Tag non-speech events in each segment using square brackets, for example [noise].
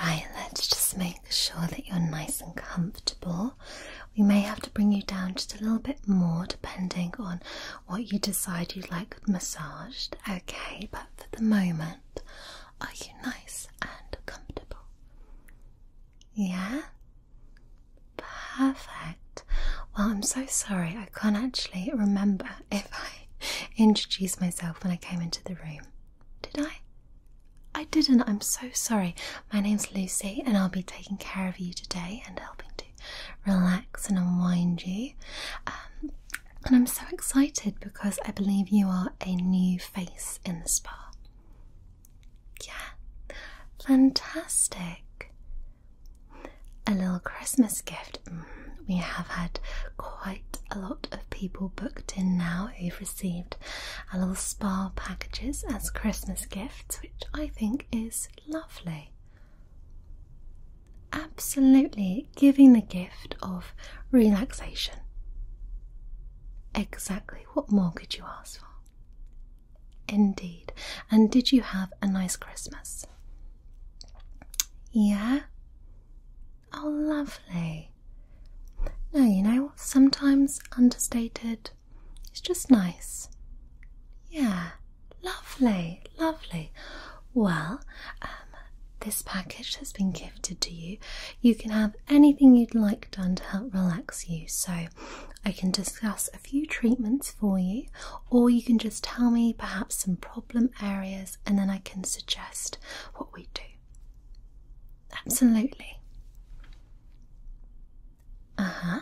Right, let's just make sure that you're nice and comfortable. We may have to bring you down just a little bit more depending on what you decide you'd like massaged. Okay, but for the moment, are you nice and comfortable? Yeah? Perfect. Well, I'm so sorry, I can't actually remember if I [laughs] introduced myself when I came into the room. Did I? I didn't. I'm so sorry. My name's Lucy, and I'll be taking care of you today and helping to relax and unwind you. Um, and I'm so excited because I believe you are a new face in the spa. Yeah, fantastic. A little Christmas gift. Mm-hmm we have had quite a lot of people booked in now who've received a little spa packages as Christmas gifts, which I think is lovely. Absolutely giving the gift of relaxation. Exactly, what more could you ask for? Indeed. And did you have a nice Christmas? Yeah? Oh, lovely. No, you know, sometimes understated It's just nice. Yeah, lovely, lovely. Well, um, this package has been gifted to you. You can have anything you'd like done to help relax you. So, I can discuss a few treatments for you, or you can just tell me perhaps some problem areas and then I can suggest what we do. Absolutely. Uh huh.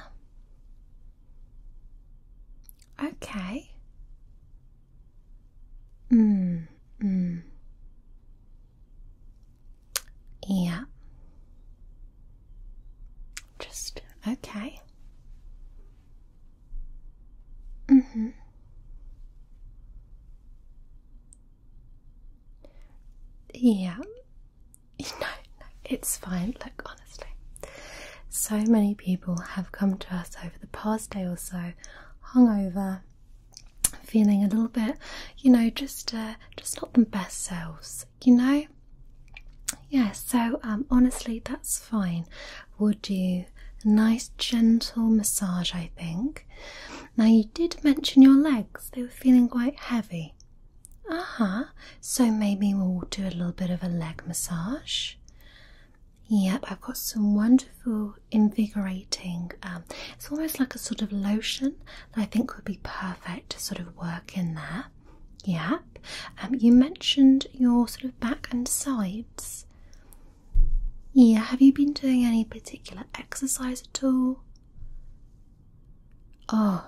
Okay. Mm, mm. Yeah. Just okay. Mm-hmm. Yeah, [laughs] no, no, it's fine. Look, honestly, so many people have come to us over the past day or so, hungover, feeling a little bit, you know, just uh, just not the best selves, you know. Yeah, so um, honestly, that's fine we will do a nice gentle massage, I think. Now, you did mention your legs, they were feeling quite heavy. Uh huh. So maybe we'll do a little bit of a leg massage. Yep, I've got some wonderful invigorating. Um, it's almost like a sort of lotion that I think would be perfect to sort of work in there. Yep. Um, you mentioned your sort of back and sides. Yeah, have you been doing any particular exercise at all? Oh,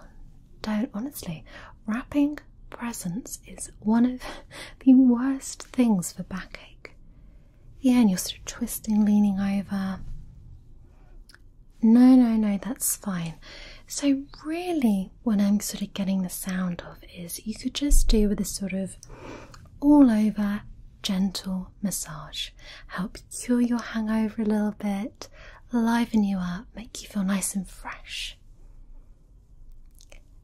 don't honestly. Wrapping presents is one of [laughs] the worst things for backache. Yeah, and you're sort of twisting, leaning over. No, no, no, that's fine. So, really, what I'm sort of getting the sound of is you could just do with a sort of all over gentle massage. Help cure your hangover a little bit, liven you up, make you feel nice and fresh.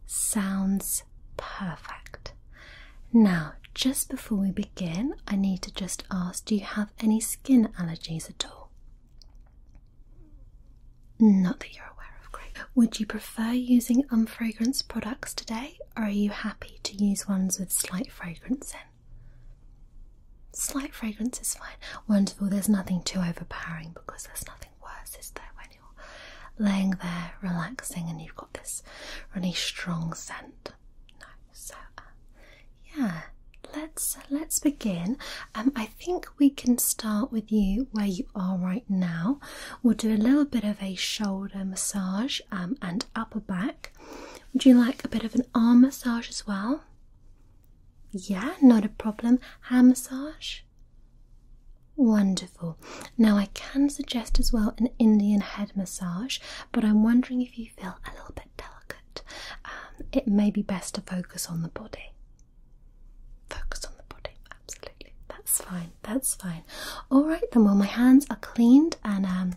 Sounds perfect. Now, just before we begin, I need to just ask do you have any skin allergies at all? Not that you're aware of, great. Would you prefer using unfragranced products today? are you happy to use ones with slight fragrance in? Slight fragrance is fine. Wonderful, there's nothing too overpowering because there's nothing worse, is there, when you're laying there relaxing and you've got this really strong scent. No, so uh, yeah, let's uh, let's begin. Um, I think we can start with you where you you are right now. We'll do a little bit of a shoulder massage um, and upper back. Would you like a bit of an arm massage as well? Yeah, not a problem. Hand massage? Wonderful. Now, I can suggest as well an Indian head massage, but I'm wondering if you feel a little bit delicate. Um, it may be best to focus on the body. Focus on the body absolutely. That's fine. That's fine. All right then. Well, my hands are cleaned and um,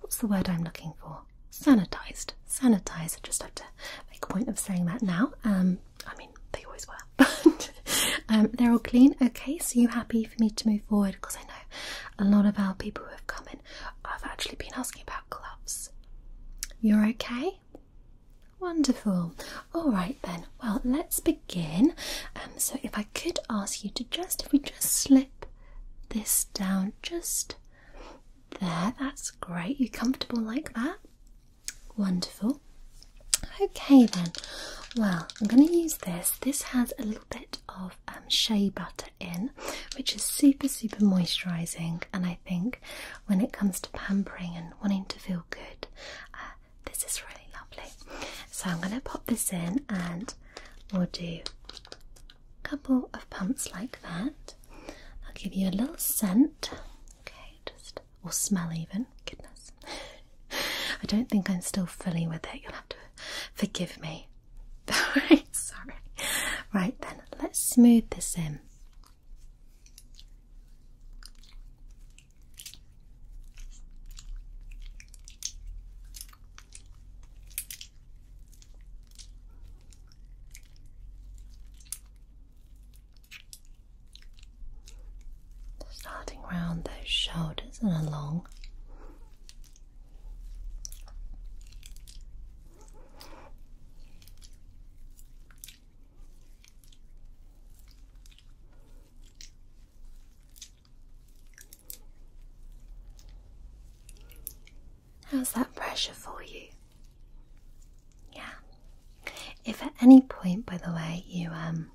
what's the word I'm looking for? Sanitized. Sanitized. just have to make a point of saying that now. Um, I mean, they always were, but [laughs] um, they're all clean. Okay. So you happy for me to move forward? Because I know a lot of our people who have come in have actually been asking about gloves. You're okay. Wonderful. All right then. Well, let's begin again. Um, so if I could ask you to just, if we just slip this down just there, that's great. You comfortable like that? Wonderful. Okay then. Well, I'm going to use this. This has a little bit of um, shea butter in, which is super, super moisturising. And I think when it comes to pampering and wanting to feel good, uh, this is really lovely. So I'm going to pop this in and we'll do a couple of pumps like that. I'll give you a little scent, okay, just or smell even. Goodness, [laughs] I don't think I'm still fully with it. You'll have to forgive me. [laughs] Alright, sorry. Right then, let's smooth this in. Starting round those shoulders and along. How's that pressure for you? Yeah. If at any point, by the way, you um,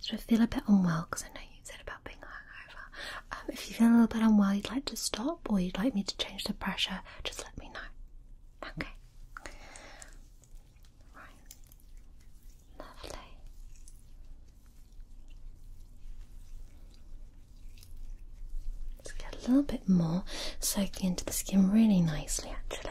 sort of feel a bit unwell, because I know you said about being hungover, um, if you feel a little bit unwell, you'd like to stop, or you'd like me to change the pressure, just let me know. Okay. Right. Lovely. Let's get a little bit more soaking into the skin really nicely actually.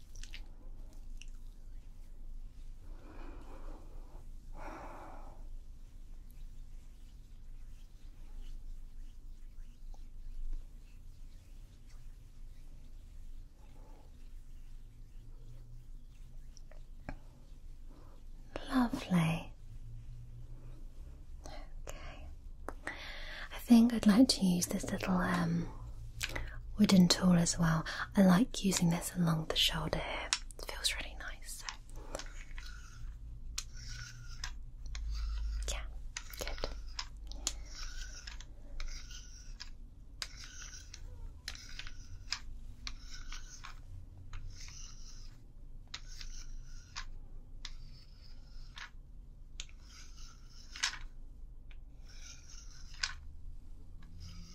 Lovely. Okay. I think I'd like to use this little um wooden tool as well. I like using this along the shoulder here, it feels really nice. Yeah, good.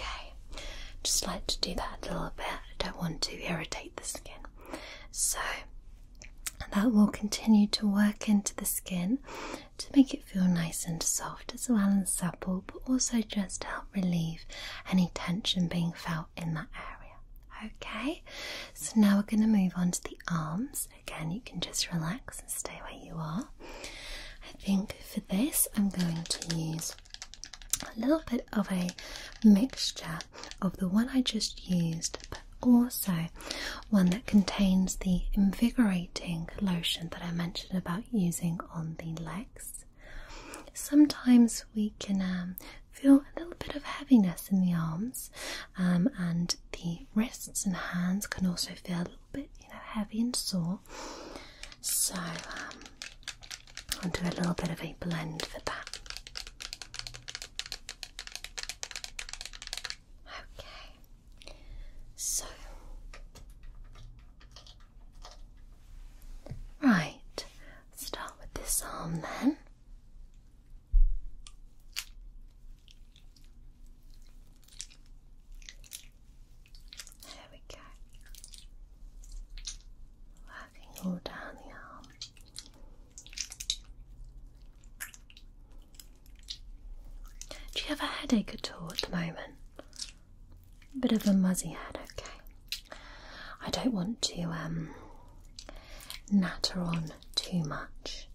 Okay, just like to do that a little bit. I don't want to irritate the skin. So that will continue to work into the skin to make it feel nice and soft as well and supple, but also just help relieve any tension being felt in that area. Okay, so now we're going to move on to the arms. Again, you can just relax and stay where you are. I think for this, I'm going to use a little bit of a mixture of the one I just used, also one that contains the invigorating lotion that I mentioned about using on the legs. Sometimes we can um, feel a little bit of heaviness in the arms, um, and the wrists and hands can also feel a little bit, you know, heavy and sore. So um, I'll do a little bit of a blend for that. Okay, so right, start with this arm then. There we go. Working all down the arm. Do you have a headache at all at the moment? A bit of a muzzy head, okay. I don't want to um, natter on too much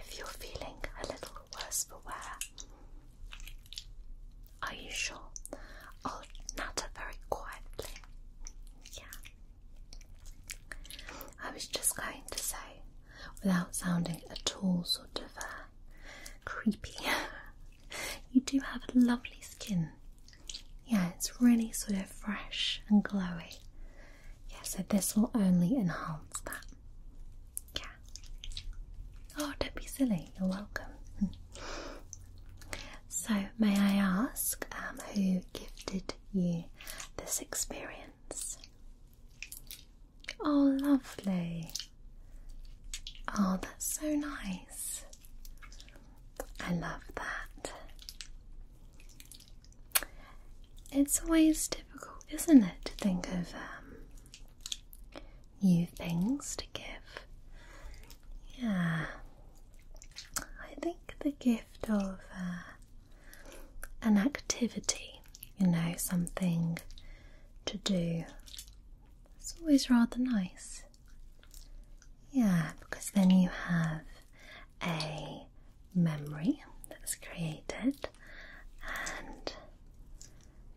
if you're feeling a little worse for wear. Are you sure? I'll natter very quietly. Yeah. I was just going to say, without sounding at all sort of uh, creepy, [laughs] you do have a lovely skin. Yeah, it's really sort of fresh and glowy. Yeah, so this will only enhance that. Yeah. Oh, don't be silly, you're welcome. [laughs] so, may I ask um, who gifted you this experience? Oh, lovely. Oh, that's so nice. I love that. It's always difficult, isn't it, to think of um, new things to give? Yeah. I think the gift of uh, an activity, you know, something to do. It's always rather nice. Yeah, because then you have a memory that's created, and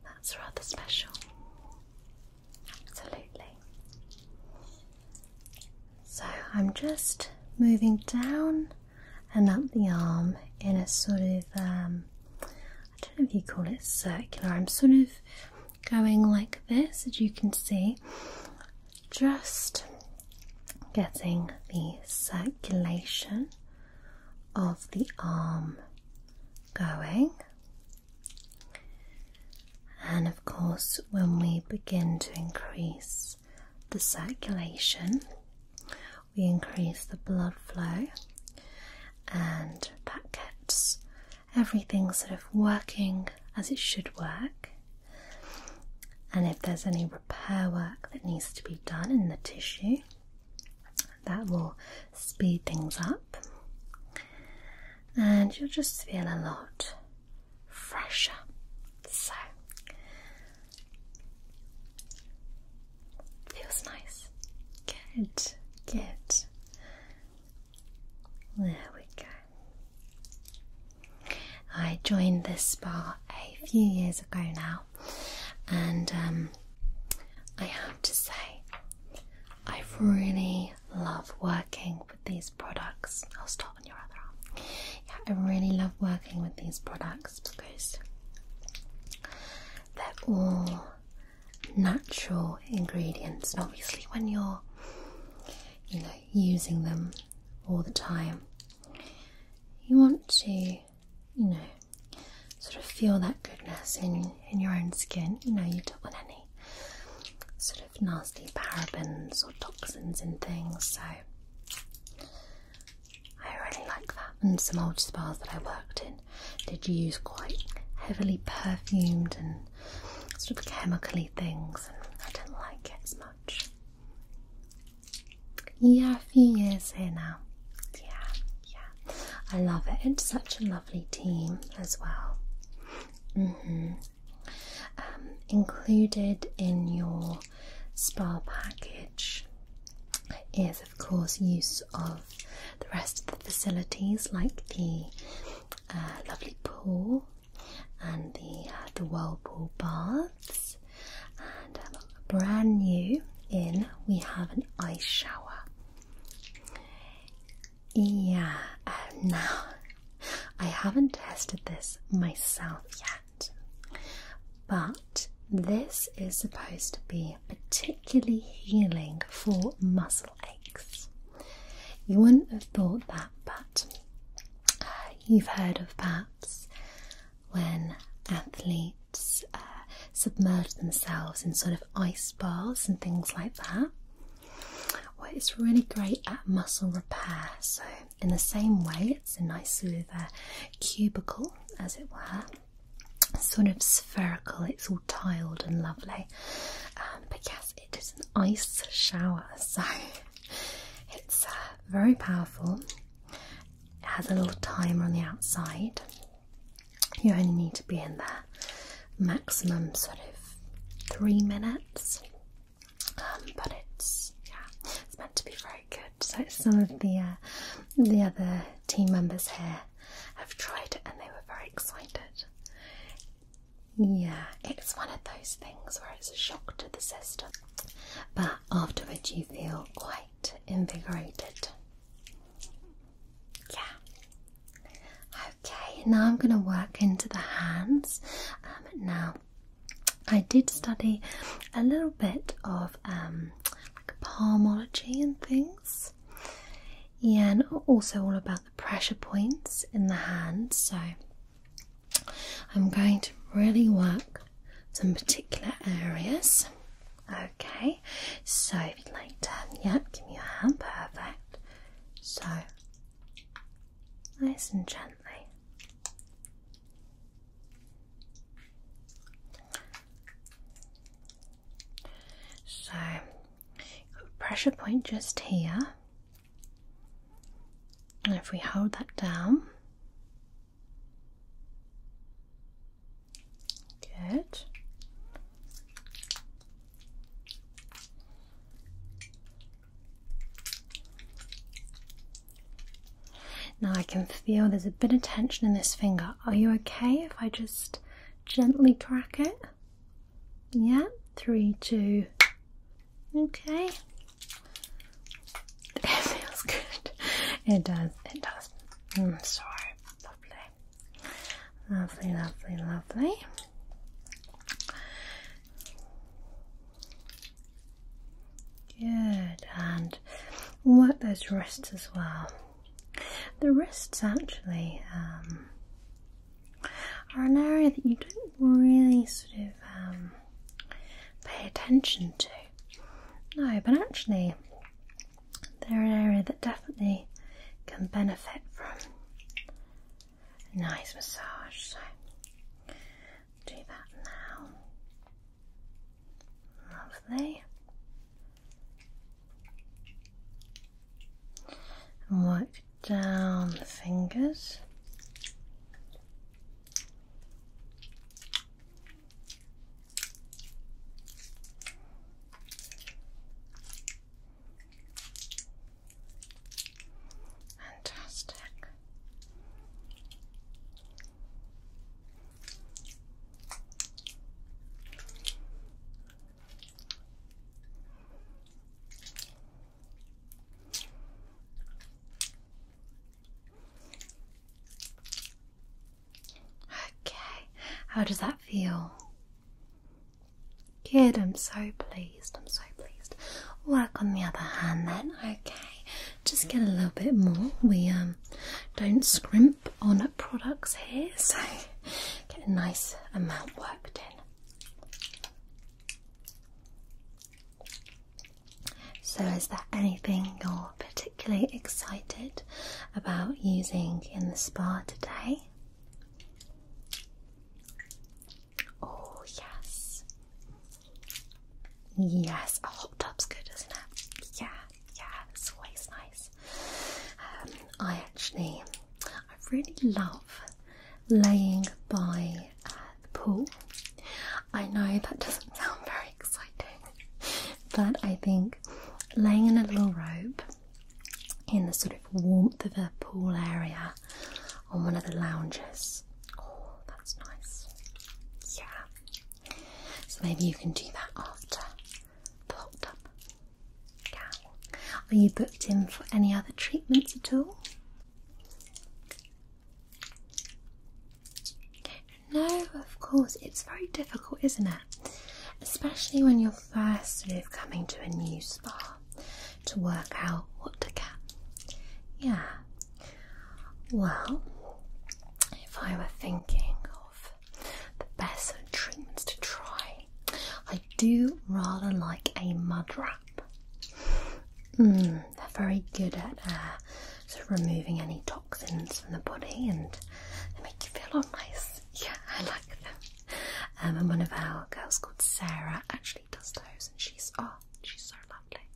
that's rather special. Absolutely. So I'm just moving down and up the arm in a sort of um, I don't know if you call it circular. I'm sort of going like this, as you can see, just getting the circulation of the arm going. And of course, when we begin to increase the circulation, we increase the blood flow, and that gets everything sort of working as it should work. And if there's any repair work that needs to be done in the tissue, that will speed things up. And you'll just feel a lot fresher. So feels nice. Good, good. There we go. I joined this spa a few years ago now, and um, I have to say, I really love working with these products. I'll stop yeah, I really love working with these products because they're all natural ingredients, and obviously, when you're you know using them all the time, you want to you know sort of feel that goodness in in your own skin. You know, you don't want any sort of nasty parabens or toxins and things, so I really like that. And some old spas that I worked in did use quite heavily perfumed and sort of chemically things, and I didn't like it as much. Yeah, a few years here now. Yeah, yeah. I love it. It's such a lovely team as well. -hmm. Um, included in your spa package is, of course, use of the rest of the facilities like the uh, lovely pool and the uh, the whirlpool baths. And um, brand new in, we have an ice shower. Yeah, um, [laughs] now I haven't tested this myself yet. But this is supposed to be particularly healing for muscle aches. You wouldn't have thought that, but uh, you've heard of perhaps when athletes uh, submerge themselves in sort of ice bars and things like that. Well, it's really great at muscle repair, so in the same way, it's a nice sort uh, cubicle, as it were, sort of spherical, it's all tiled and lovely. Um, but yes, it is an ice shower, [laughs] so it's uh, very powerful. It has a little timer on the outside. You only need to be in there maximum sort of three minutes. Um, but it's yeah, it's meant to be very good. So some of the uh, the other team members here have tried it and they were very excited. Yeah, it's one of those things where it's a shock to the system, but afterwards you feel quite invigorated. Yeah. Okay, now I'm going to work into the hands. Um, now I did study a little bit of um, palmology and things, yeah, and also all about the pressure points in the hands. So, I'm going to really work some particular areas. Okay, so if you'd like to, yeah, give me your hand, perfect. So, nice and gently. So, pressure point just here, and if we hold that down, good. Now I can feel there's a bit of tension in this finger. Are you okay if I just gently crack it? Yeah, three, two. Okay. [laughs] It feels good. It does, it does. Mm, sorry. Lovely. Lovely, lovely, lovely. Good, and work those wrists as well. The wrists actually um, are an area that you don't really sort of um, pay attention to. No, but actually, they're an area that definitely can benefit from a nice massage. So do that now. Lovely. And work down the fingers. Fantastic. Okay, how does that feel? Good, I'm so pleased. I'm so pleased. Work on the other hand, then. Okay, just get a little bit more. We um don't scrimp on products here, [laughs] so get a nice amount worked in. So, is there anything you're particularly excited about using in the spa today? Oh, yes. Yes, a hot tub's good, isn't it? Yeah, yeah, it's always nice. Um, I actually, I really love laying by uh, the pool. I know that doesn't [laughs] sound very exciting, but I think laying in a little robe in the sort of warmth of a pool area on one of the lounges Oh, that's nice. Yeah. So maybe you can do that after the hot Yeah. Are you booked in for any other treatments at all? No, of course, it's very difficult, isn't it? Especially when you're first sort of coming to a new spa to work out what to get. Yeah. Well, if I were thinking of the best treatments to try, I do rather like a mud wrap. Hmm, they're very good at uh, removing any toxins from the body and they make you feel all nice. [laughs] Yeah, I like them. Um, and one of our girls called Sarah actually does those, and she's off. Oh, She's so lovely.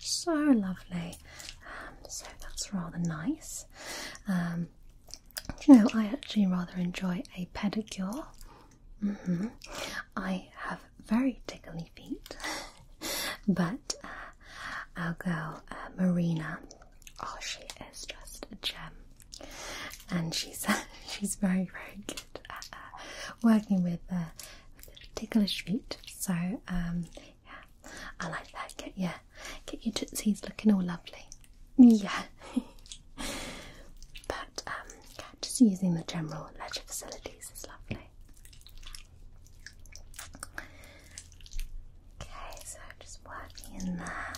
So lovely. Um, so that's rather nice. Um, you know, I actually rather enjoy a pedicure. Mm-hmm. I have very tickly feet, [laughs] but uh, our girl uh, Marina, oh, she is just a gem, and she's [laughs] she's very very [laughs] working with, uh, a ticklish feet. So um, yeah, I like that. Get yeah, get your tootsies looking all lovely. Yeah. [laughs] but um, just using the general leisure facilities is lovely. Okay, so just working in there.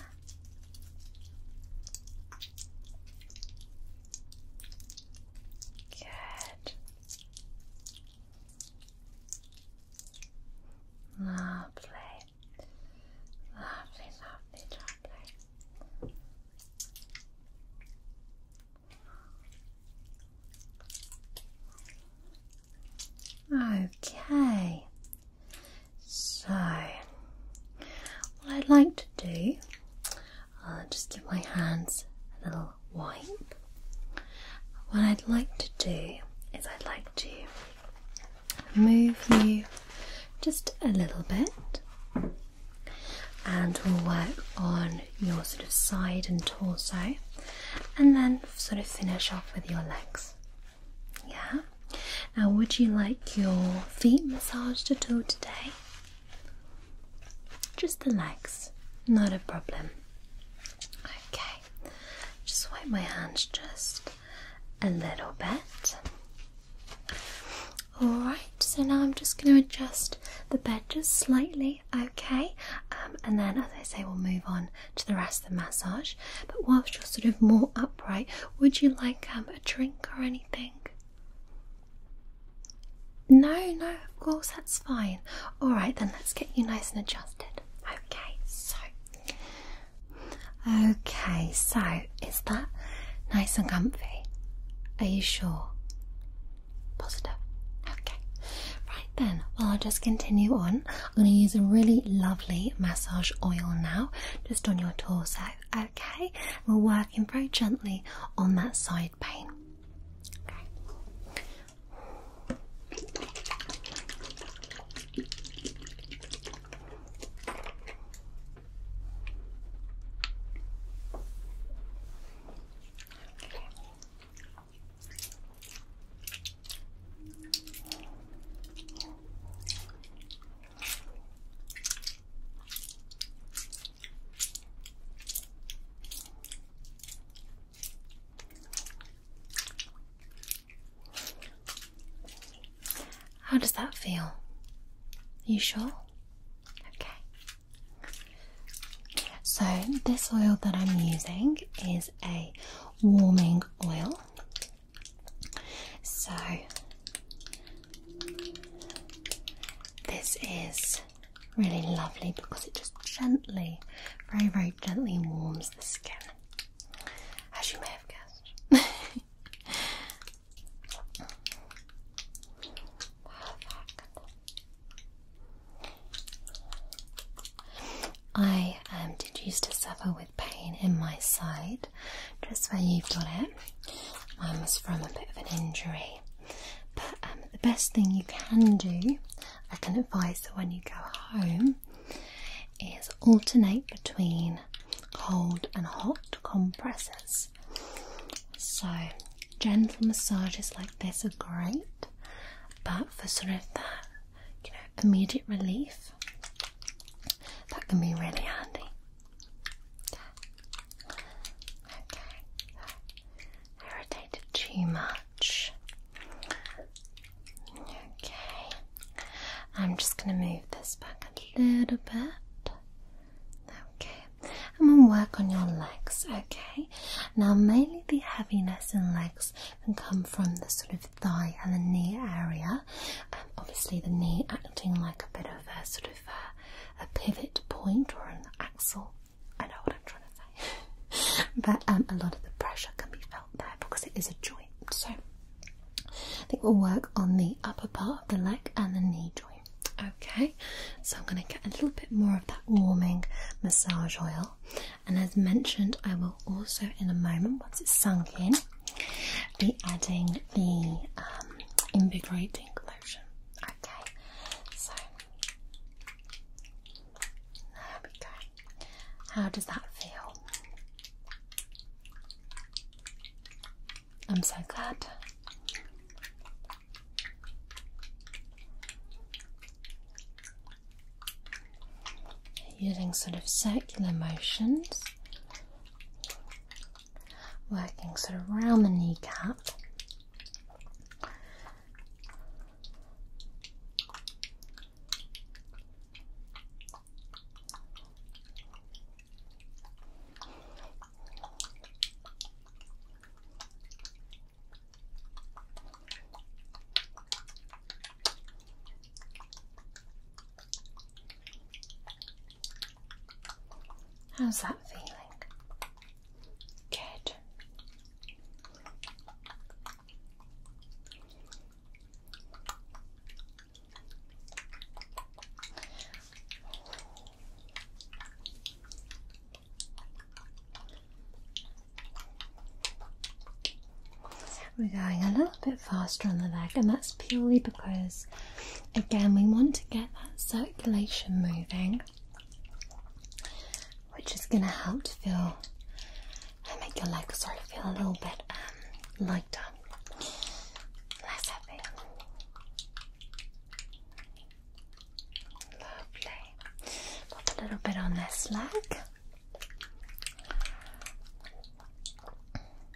Good. Lovely. Lovely, lovely, lovely. Okay, so what I'd like to do I'll just give my hands a little wipe. What I'd like to do is I'd like to move you just a little bit and we'll work on your sort of side and torso and then sort of finish off with your legs. Yeah? Now, would you like your feet massaged at all today? Just the legs, not a problem. Okay, just wipe my hands just a little bit. Alright, so now I'm just going to adjust the bed just slightly, okay? Um, and then, as I say, we'll move on to the rest of the massage. But whilst you're sort of more upright, would you like um, a drink or anything? No, no, of course, that's fine. Alright, then let's get you nice and adjusted. Okay, so. Okay, so is that nice and comfy? Are you sure? Positive. Okay. Right then, well, I'll just continue on. I'm going to use a really lovely massage oil now, just on your torso. Okay, we'll work very gently on that side pain. How does that feel? Are you sure? Okay. So, this oil that I'm using is a warming oil. So, this is really lovely because it just gently, very, very gently warms the skin, as you may have guessed. [laughs] I um, did used to suffer with pain in my side just where you've got it. Mine was from a bit of an injury. But um, the best thing you can do, I can advise that when you go home, is alternate between cold and hot compresses. So, gentle massages like this are great, but for sort of that you know, immediate relief, that can be really handy. Okay. Irritated too much. Okay. I'm just going to move this back a little bit. Okay. I'm going to work on your legs. Okay. Now, mainly the heaviness in legs can come from the sort of thigh and the knee area. Um, obviously, the knee acting like a bit of a sort of a, pivot point or an axle. I know what I'm trying to say. [laughs] but um, a lot of the pressure can be felt there because it is a joint. So I think we'll work on the upper part of the leg and the knee joint. Okay, so I'm going to get a little bit more of that warming massage oil. And as mentioned, I will also, in a moment, once it's sunk in, be adding the um, lotion. Okay, so there we go. How does that feel? I'm so glad. Using sort of circular motions working sort of around the kneecap. How's that feeling? Good. We're going a little bit faster on the leg, and that's purely because Again, we want to get that circulation moving, which is going to help to feel and uh, make your legs sort of feel a little bit um, lighter, less heavy. Lovely. Pop a little bit on this leg.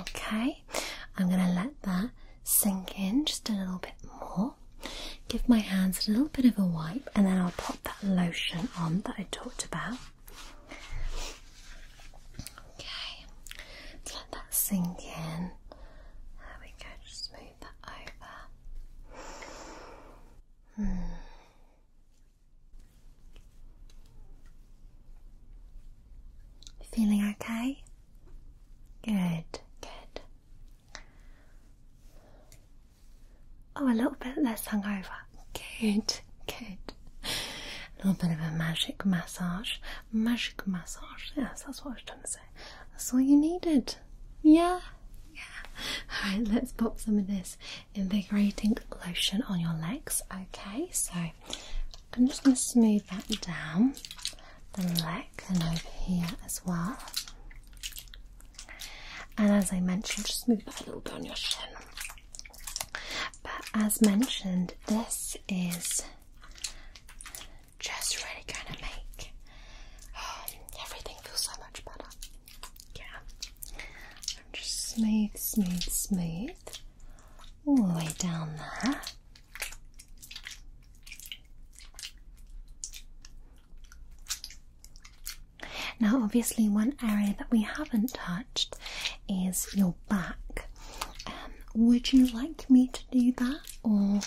Okay, I'm going to let that sink in just a little bit more. Give my hands a little bit of a wipe, and then I'll pop that lotion on that I talked about. Okay, let that sink in. There we go, just move that over. Hmm. Feeling okay? Good, good. Oh, a little bit less hungover. Good, good. A little bit of a magic massage. Magic massage. Yes, that's what I was trying to say. That's all you needed. Yeah, yeah. Alright, let's pop some of this invigorating lotion on your legs. Okay, so I'm just going to smooth that down the leg and over here as well. And as I mentioned, just move that a little bit on your shin. But as mentioned, this is just really going to make um, everything feel so much better. Yeah. just smooth, smooth, smooth all the way down there. Now, obviously, one area that we haven't touched is your back. Um, would you like me to do that, or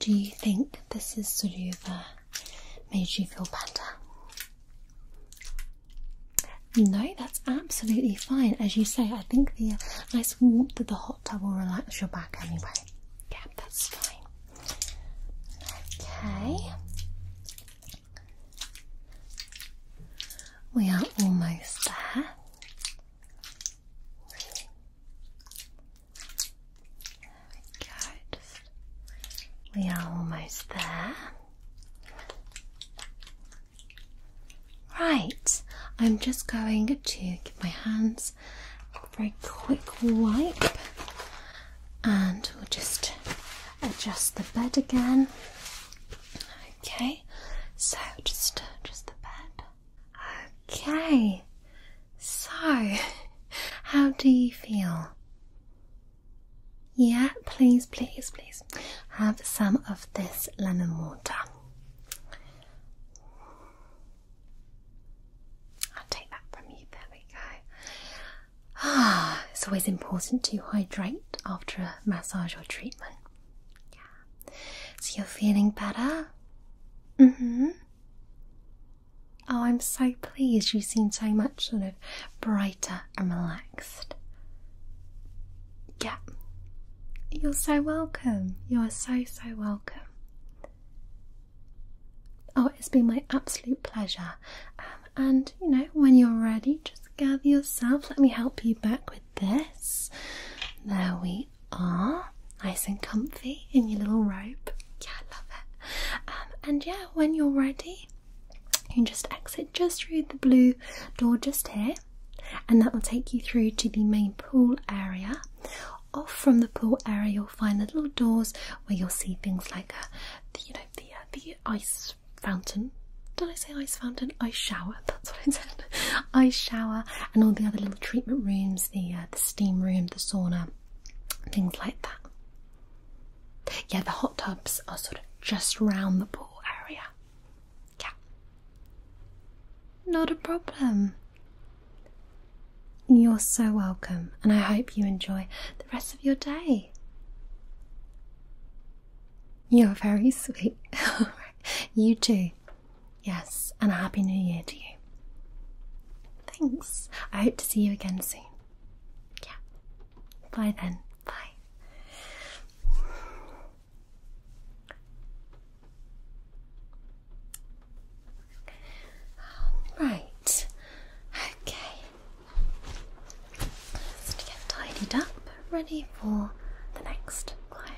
do you think this has sort of uh, made you feel better? No, that's absolutely fine. As you say, I think the uh, nice warmth of the hot tub will relax your back anyway. Yeah, that's fine. Okay. We are almost there. There we go. we are almost there. Right, I'm just going to give my hands very quick wipe and we'll just adjust the bed again. Okay, so just just the bed. Okay, so [laughs] how do you feel? Yeah, please, please, please have some of this lemon water i take that from you. There we go. Ah, it's always important to hydrate after a massage or treatment. Yeah. So you're feeling better? hmm. Oh, I'm so pleased. You seem so much sort of brighter and relaxed. Yeah. You're so welcome. You are so, so welcome. Oh, it's been my absolute pleasure. Um, and you know, when you're ready, just gather yourself. Let me help you back with this. There we are, nice and comfy in your little robe. Yeah, I love it. Um, and yeah, when you're ready, you can just exit just through the blue door just here, and that will take you through to the main pool area. Off from the pool area, you'll find little doors where you'll see things like, uh, the, you know, the uh, the ice fountain. Did I say ice fountain? Ice shower. [laughs] That's what I said. ice shower and all the other little treatment rooms, the uh, the steam room, the sauna, things like that. Yeah, the hot tubs are sort of just round the pool area. Yeah. Not a problem. You're so welcome, and I hope you enjoy the rest of your day. You're very sweet. [laughs] you too. Yes, and a happy new year to you. Thanks. I hope to see you again soon. Yeah. Bye then. Bye. Right, okay. Just to get tidied up, ready for the next client.